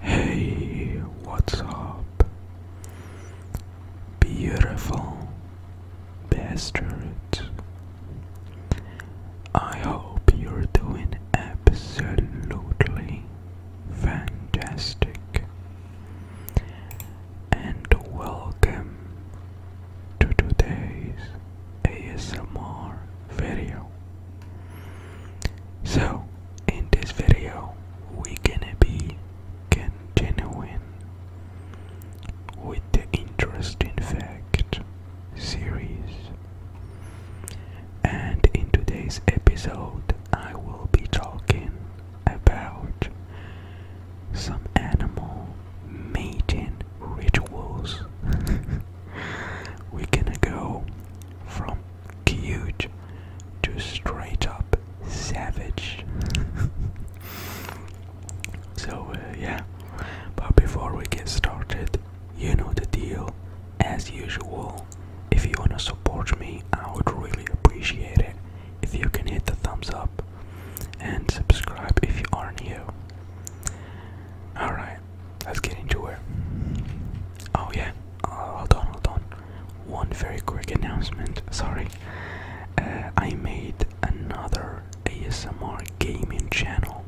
Hey, what's up? Beautiful bastard. I hope you're doing absolutely fantastic. And welcome to today's ASMR video. So, in this video we're gonna be genuine with the interesting fact series and in today's episode i will be talking about some animal mating rituals we're gonna go from cute to straight up savage. so, uh, yeah, but before we get started, you know the deal. As usual, if you want to support me, I would really appreciate it if you can hit the thumbs up and subscribe if you are new. Alright, Let's get into it. Oh yeah, uh, hold on, hold on. One very quick announcement. Sorry, uh, I made another ASMR gaming channel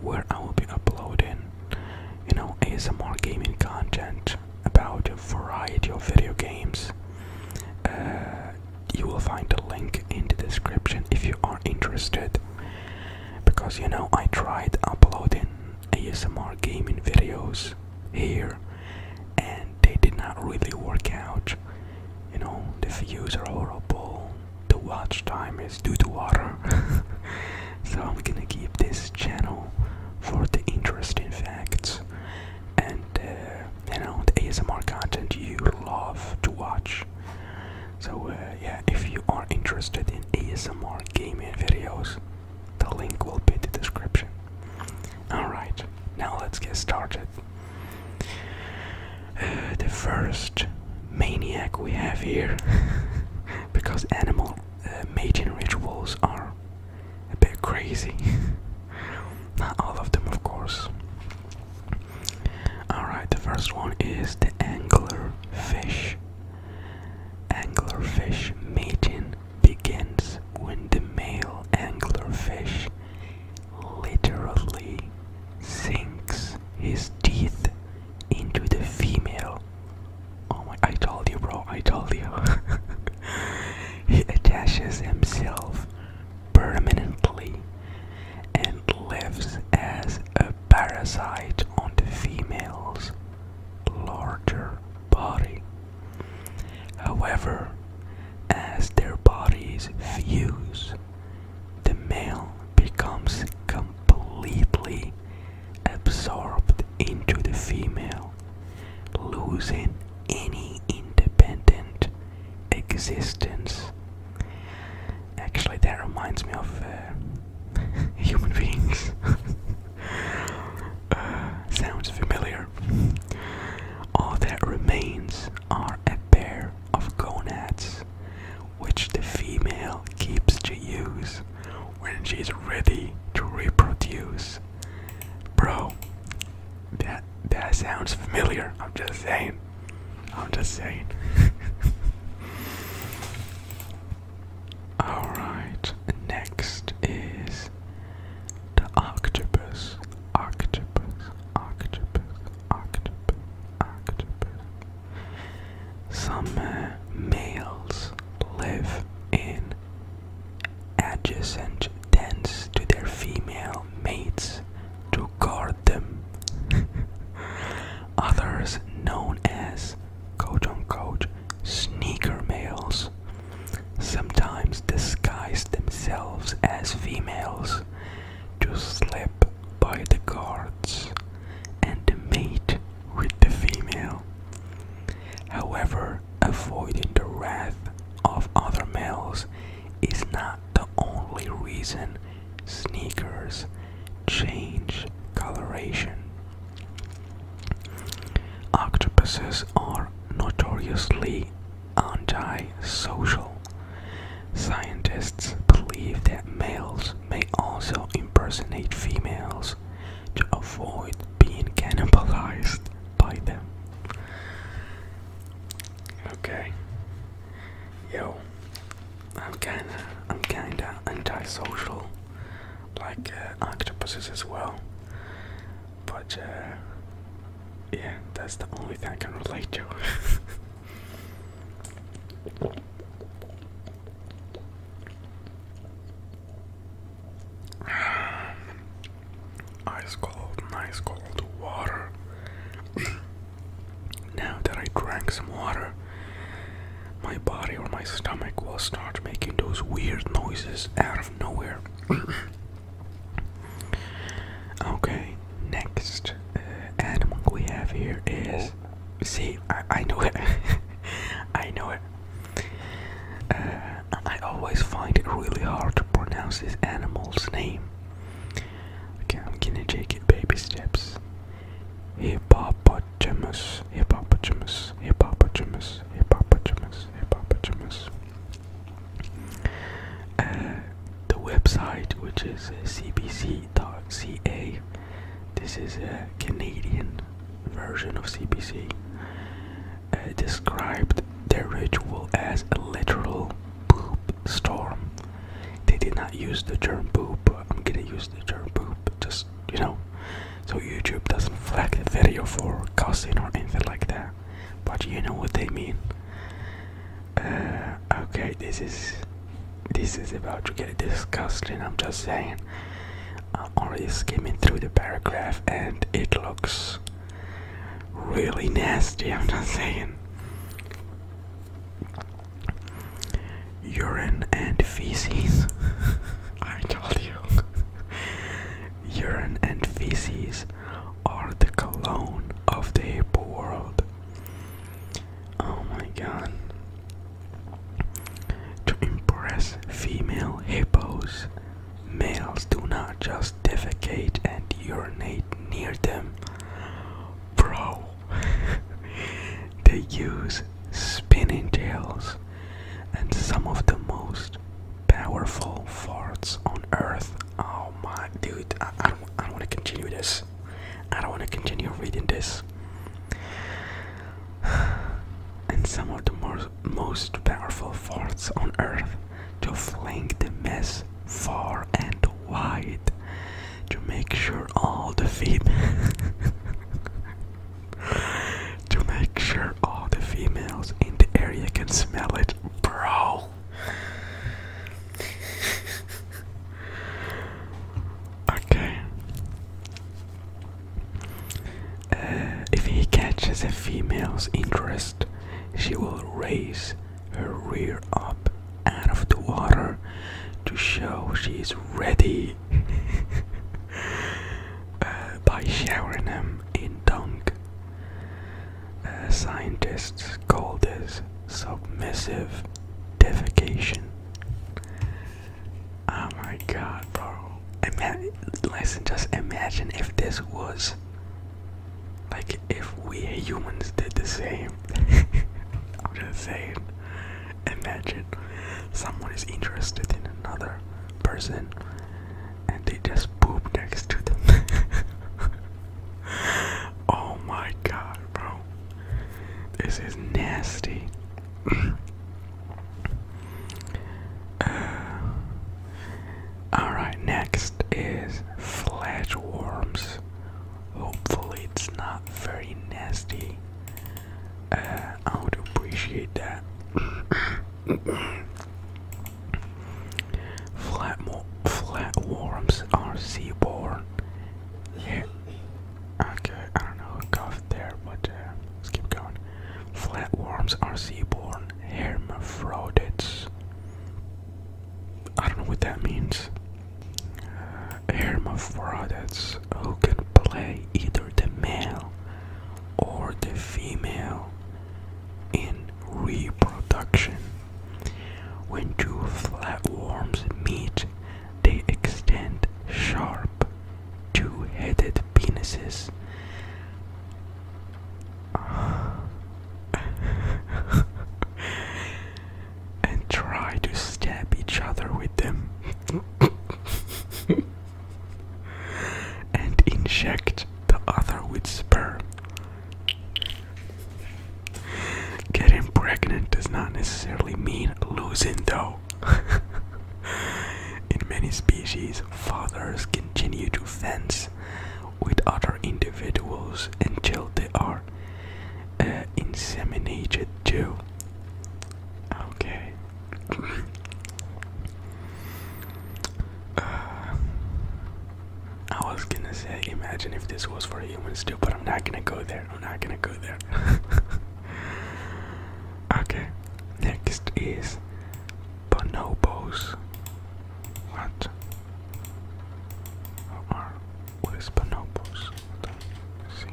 where I will be uploading, you know, ASMR gaming content about a variety of video games. Uh, you will find the link in the description if you are interested because you know I tried uploading ASMR gaming videos here and they did not really work out. You know, the views are horrible, the watch time is due to water. so I'm gonna keep this channel for the interesting facts and uh, you know the ASMR content you love to watch. So uh, yeah, if you are interested in ASMR gaming videos, the link will be in the description. Alright, now let's get started. Uh, the first maniac we have here, because animal uh, mating rituals are a bit crazy. Not all of them, of course. Alright, the first one is the angler fish Anglerfish mating begins when the male anglerfish literally sinks his teeth into the female. Oh my, I told you, bro, I told you. he attaches himself permanently and lives as a parasite on the females larger body. However, as their bodies fuse, the male becomes completely absorbed into the female, losing any independent existence. Actually, that reminds me of uh, human beings. Uh, sounds familiar. All that remains are a pair of gonads, which the female keeps to use when she's ready to reproduce. Bro, that that sounds familiar. I'm just saying. I'm just saying. Alright, next is the octopus. Octopus, octopus, octopus, octopus. Some uh, males live in adjacent dens to their female mates to guard them. Others, known as quote unquote sneaker males, sometimes disguise themselves as females to slip by the guards and mate with the female. However, avoiding the wrath of other males is not the only reason sneakers change coloration. Octopuses are notoriously antisocial. Scientists believe that males may also impersonate females to avoid being cannibalized by them. Okay. Yo, I'm kinda, I'm kinda antisocial like uh, octopuses as well. But uh, yeah, that's the only thing I can relate to. Ice cold, nice cold water. now that I drank some water, my body or my stomach will start making those weird noises out of nowhere. okay, next uh, animal we have here is. Oh. See, I, know it. I know it. Uh, I always find it really hard to pronounce this animal's name. Okay, I'm gonna take it baby steps hippopotamus, hippopotamus, hippopotamus, hippopotamus, hippopotamus. Uh, the website, which is uh, cbc.ca, this is a Canadian version of CBC, uh, described their ritual as a literal poop storm. They did not use the term poop, but I'm gonna use the term poop just you know so YouTube doesn't flag the video for cussing or anything like that but you know what they mean uh, okay this is this is about to get disgusting I'm just saying I'm already skimming through the paragraph and it looks really nasty I'm just saying urine and feces. I told you. urine and feces are the cologne of the hippo world. Oh my god. To impress female hippos, males do not just defecate and urinate near them. Bro, They use spinning tails and some of the most powerful farts on earth. Oh my dude, I, don't, I don't want to continue this. I don't want to continue reading this. And some of the more, most powerful farts on earth to fling the mess far and wide to make sure all the females to make sure all the females in the area can smell it, bro. okay. Uh, if he catches a female's interest, she will raise her rear up out of the water to show she is ready. Uh, by showering them in dung. Uh, scientists call this submissive defecation. Oh my god, bro. Ima just imagine if this was like if we humans did the same. I'm just saying. Imagine someone is interested in another person and they just poop next to them. oh my god, bro. This is nasty. Uh, Alright, next is worms. Hopefully, it's not very nasty. Uh, I would appreciate that. Flatworms flat are seaborne. Yeah. Okay, I don't know coughed there, but uh, let's keep going. Flatworms are seaborne hermaphrodites. I don't know what that means. Uh, hermaphrodites who can play either the male or the female in reproduction. When two flatworms meet, they extend sharp, two headed penises. and try to stab each other with them. and inject the other with sperm. Getting pregnant does not necessarily mean losing, though. In many species, fathers continue to fence with other individuals until they are uh, inseminated too. Okay, uh, I was gonna say, imagine if this was for humans too, but I'm not gonna go there. I'm not gonna go there. okay, next is bonobos. What? How are what is bonobos? Let's see.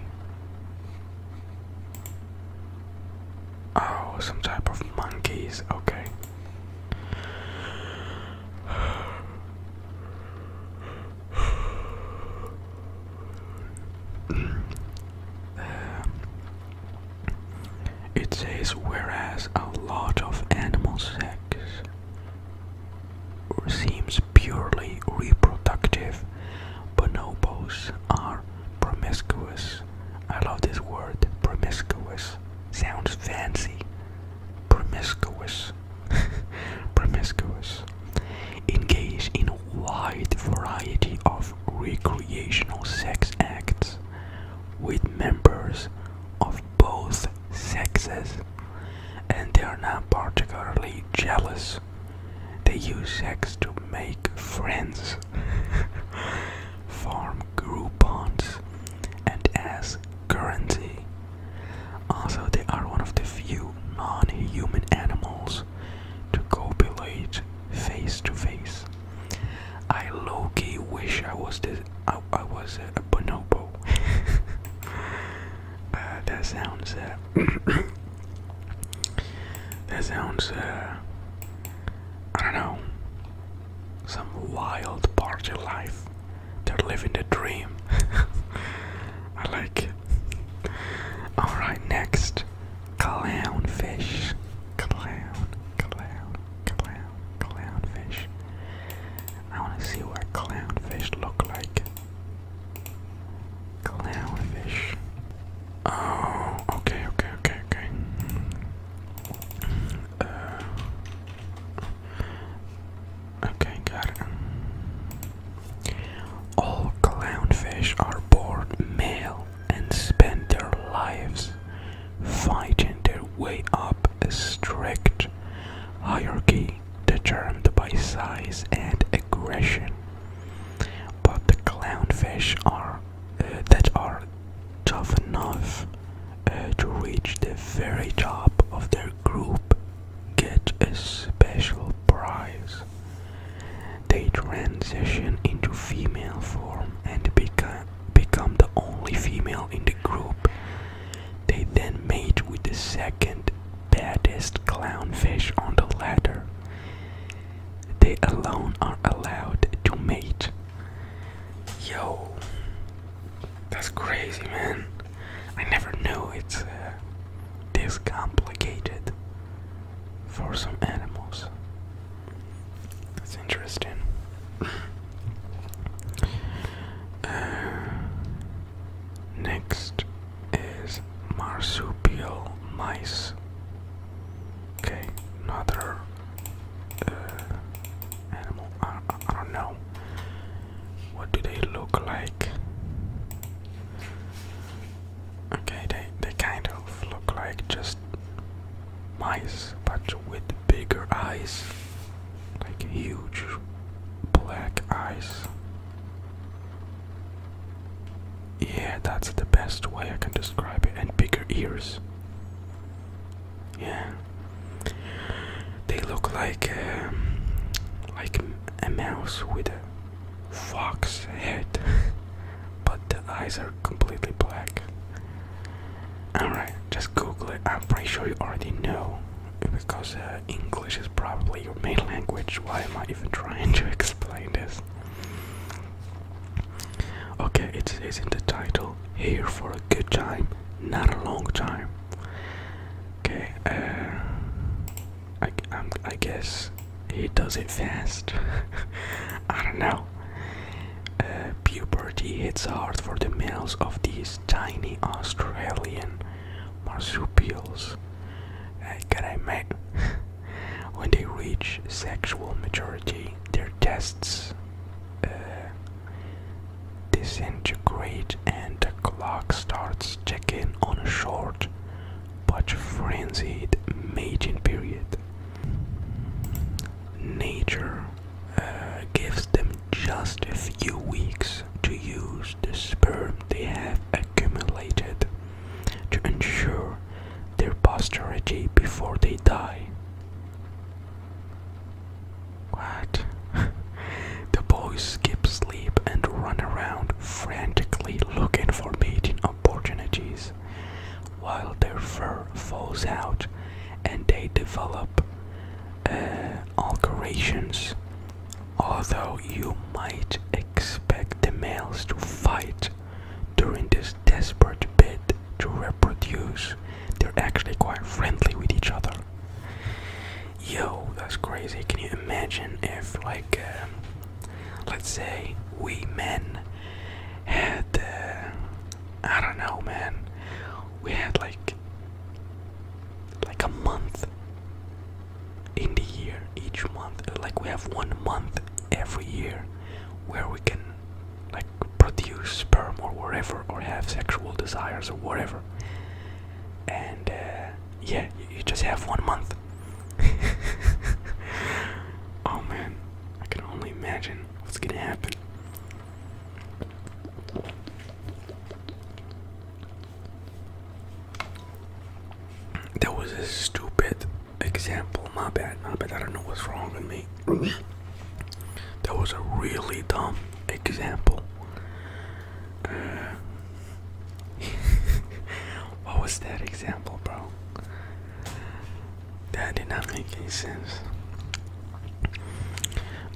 Oh, some type of monkeys. Okay. it says, whereas a lot of animal sex seems purely reproductive, bonobos are promiscuous. I love this word, promiscuous. Sounds fancy. Promiscuous. promiscuous. Engage in a wide variety of recreational sex acts with members of both sexes, and they are not particularly jealous they use sex to make friends, form groupons, and as currency. Also, they are one of the few non-human animals to copulate face to face. I low wish I was I, was a, bonobo. Uh, that sounds uh, that sounds, uh, I don't know, some wild party life. They're living the dream. I like Alright, next. Clownfish. Clown, clown, clown, clownfish. I want to see what clownfish look like. Clownfish. Oh, okay, okay, okay, okay. Uh, okay, got it. All clownfish are born male and spend their lives fighting their way up a strict hierarchy determined by size and aggression. But the clownfish are uh, that are tough enough uh, to reach the very top of their group get a special prize. They transition into female form and become become the only female in the group. They then mate with the second baddest clownfish on the ladder. They alone are allowed to mate. Yo, that's crazy, man. I never knew it's uh, this complicated for some animals. That's interesting. Uh, next is marsupial mice. Okay, another uh, animal. I don't know. What do they look like? Okay, they they kind of look like just mice, but with bigger eyes, like huge black eyes. Yeah, that's the best way I can describe it. And bigger ears. Yeah, they look like um, like a mouse with a fox head, but the eyes are completely black. Alright, just Google it. I'm pretty sure you already know because uh, English is probably your main language. Why am I even trying to explain this? Okay, it's says in the title here for a good time, not a long time. Okay, uh, I, guess he does it fast. I don't know. Uh, puberty hits hard for the males of these tiny Australian marsupials. Uh, I mate? When they reach sexual maturity, their tests uh, disintegrate and the clock starts ticking on a short but frenzied mating period. Nature uh, gives them just a few weeks to use the sperm they have accumulated to ensure their posterity before they die. What? the boys skip sleep and run around frantically looking for mating opportunities while their fur falls out and they develop uh, alterations. Although you might expect the males to fight during this desperate bid to reproduce. They're actually quite friendly with each other. Yo, that's crazy. Can you imagine if, like, um, let's say we men had, uh, I don't know, man, we had like, like a month in the year, each month, like we have one month every year where we can like produce sperm or whatever or have sexual desires or whatever and uh, yeah you just have one month oh man i can only imagine what's gonna happen That was a stupid example. My bad, my bad. I don't know what's wrong with me. that was a really dumb example. Uh, what was that example, bro? That did not make any sense.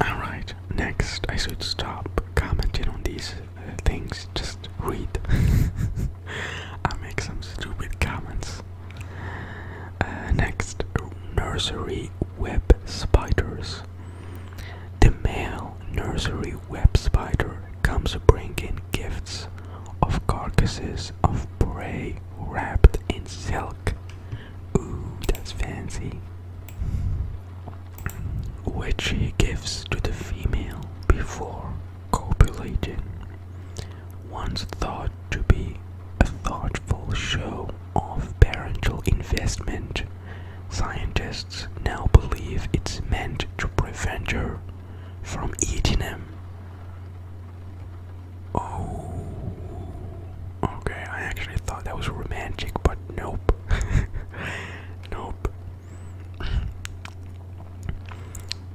Alright, next I should stop commenting on these uh, things. Just read. I make some stupid comments. Uh, next, nursery web spiders. The male nursery web spider comes bringing gifts of carcasses of prey wrapped in silk. Ooh, that's fancy. Which he gives to the female before Copulating, once thought to be a thoughtful show of parental investment, scientists now believe it's meant to prevent her from eating him. Oh, okay, I actually thought that was romantic, but nope. nope.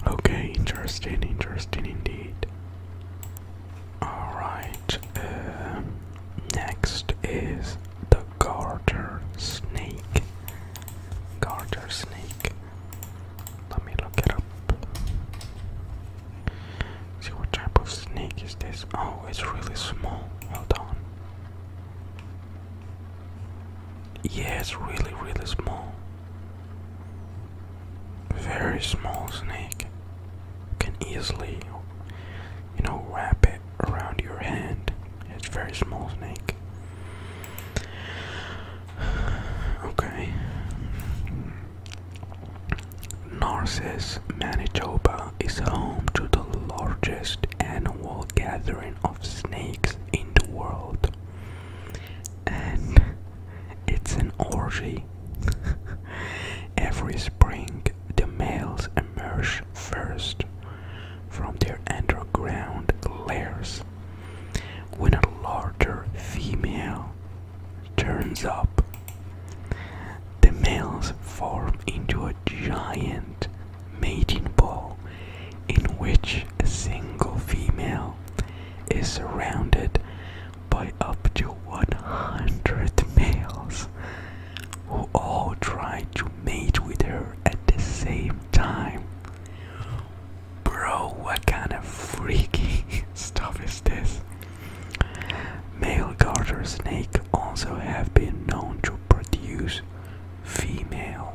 Okay, interesting, interesting indeed. Alright, uh, next is the garter snake. Garter snake. Let me look it up. See what type of snake is this? Oh, it's really small. Hold on. Yeah, it's really, really small very small snake can easily you know wrap it around your hand it's very small snake okay Narses, Manitoba is home to the largest annual gathering of snakes in the world and it's an orgy. Every spring, the males emerge first from their underground lairs. When a larger female turns up, the males form into a giant mating ball in which a single female is surrounded by up to 100 males who all try to mate with her at the same time. Bro, what kind of freaky stuff is this? Male garter snake also have been known to produce female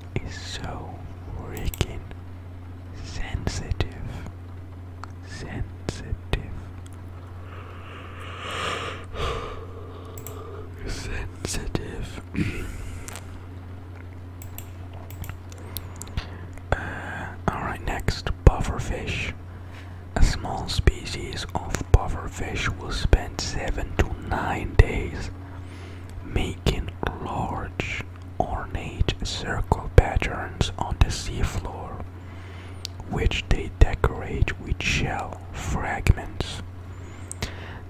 is so freaking sensitive. Sensitive. sensitive. Uh, Alright, next pufferfish. A small species of pufferfish will spend 7 to 9 days making large, ornate circle patterns on the seafloor, which they decorate with shell fragments.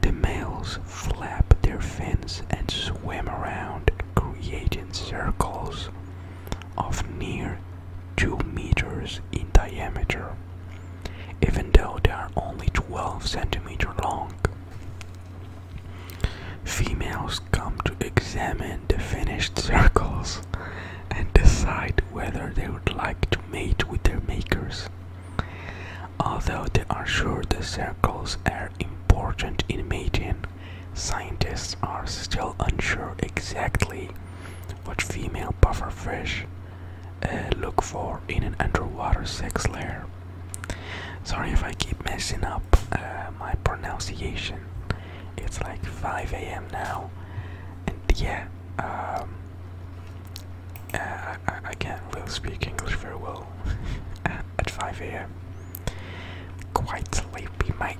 The males flap their fins and swim around, creating circles of near 2 meters in diameter even though they are only 12 centimeter long. Females come to examine the finished circles and decide whether they would like to mate with their makers. Although they are sure the circles are important in mating, scientists are still unsure exactly what female bufferfish. Uh, look for in an underwater sex lair. Sorry if I keep messing up uh, my pronunciation. It's like 5 a.m. now, and yeah, um, uh, I, can't really speak English very well at 5 a.m. Quite sleepy, Mike.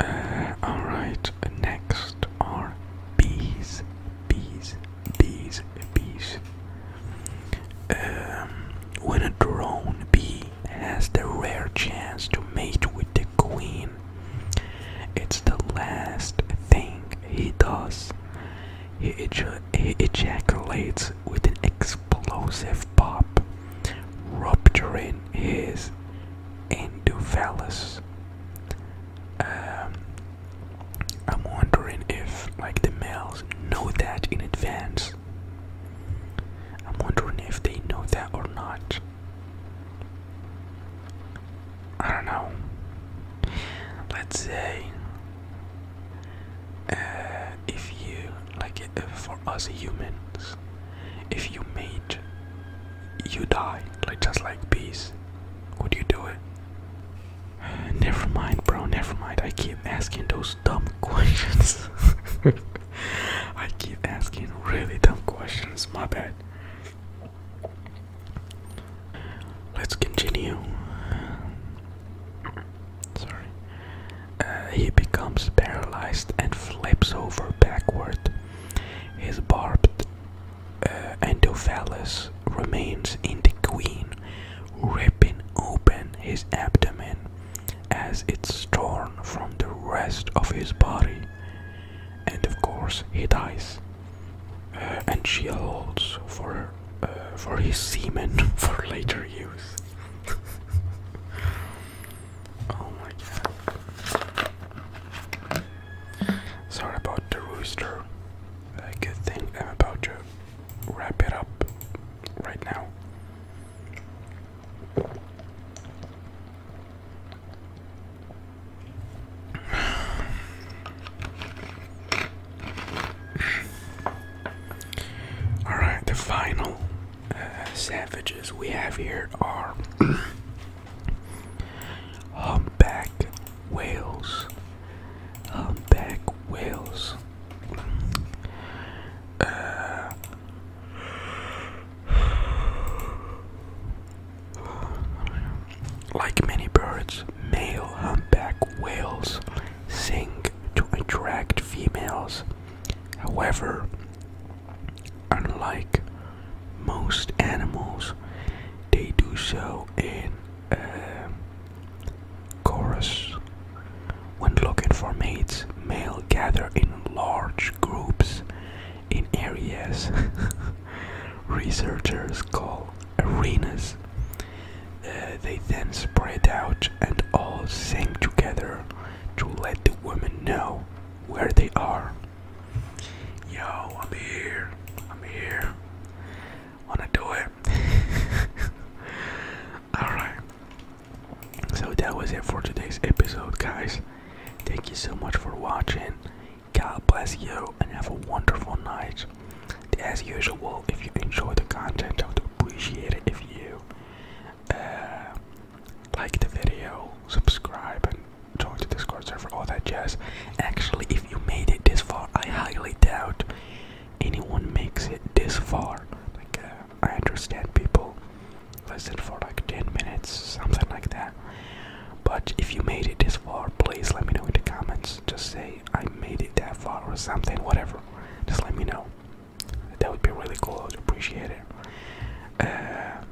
Uh, all right. Next are bees, bees, bees, bees. Um, when a drone bee has the rare chance to mate with the queen. It's the last thing he does. He, ejaculates with an explosive pop, rupturing his endophallus. Um, I'm wondering if, like, the males know that in advance. I'm wondering if they know that or not. I don't know. Let's say uh, if you like uh, for us humans, if you mate, you die like just like bees. Would you do it? Never mind, bro. Never mind. I keep asking those dumb questions. I keep asking really dumb questions. My bad. Let's continue. Sorry. Uh, he becomes paralyzed and flips over backward. His barbed uh, endophallus remains in the queen, ripping open his abdomen as it's torn from the rest of his body. And of course, he dies uh, and shields for for his semen for later use. oh my god! Sorry about the rooster. Uh, good I'm about to wrap it up right now. Alright, the final uh, savages we have here are humpback whales. Humpback whales. Uh, like many birds, male humpback whales sing to attract females. However, unlike most animals, they do so in uh, chorus. When looking for mates, males gather in large groups in areas researchers call arenas. Uh, they then spread out and all sing together to let the women know where they are. Yo, I'm here. I'm here. Wanna do it? Alright. So that was it for today's episode, guys. Thank you so much for watching. God bless you and have a wonderful night. As usual, if you enjoy the content, I would appreciate it if you uh, like the video, subscribe, and join the Discord server, all that jazz. Actually, if you made it this far, I highly doubt anyone makes it this far. Like, uh, I understand people listen for like 10 minutes, something like that. But if you made it this far, please let me know in the comments. Just say I made it that far or something, whatever. Just let me know. That would be really cool. I would appreciate it. Uh,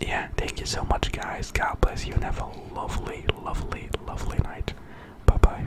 yeah, thank you so much, guys. God bless you and have a lovely, lovely, lovely night. Bye bye.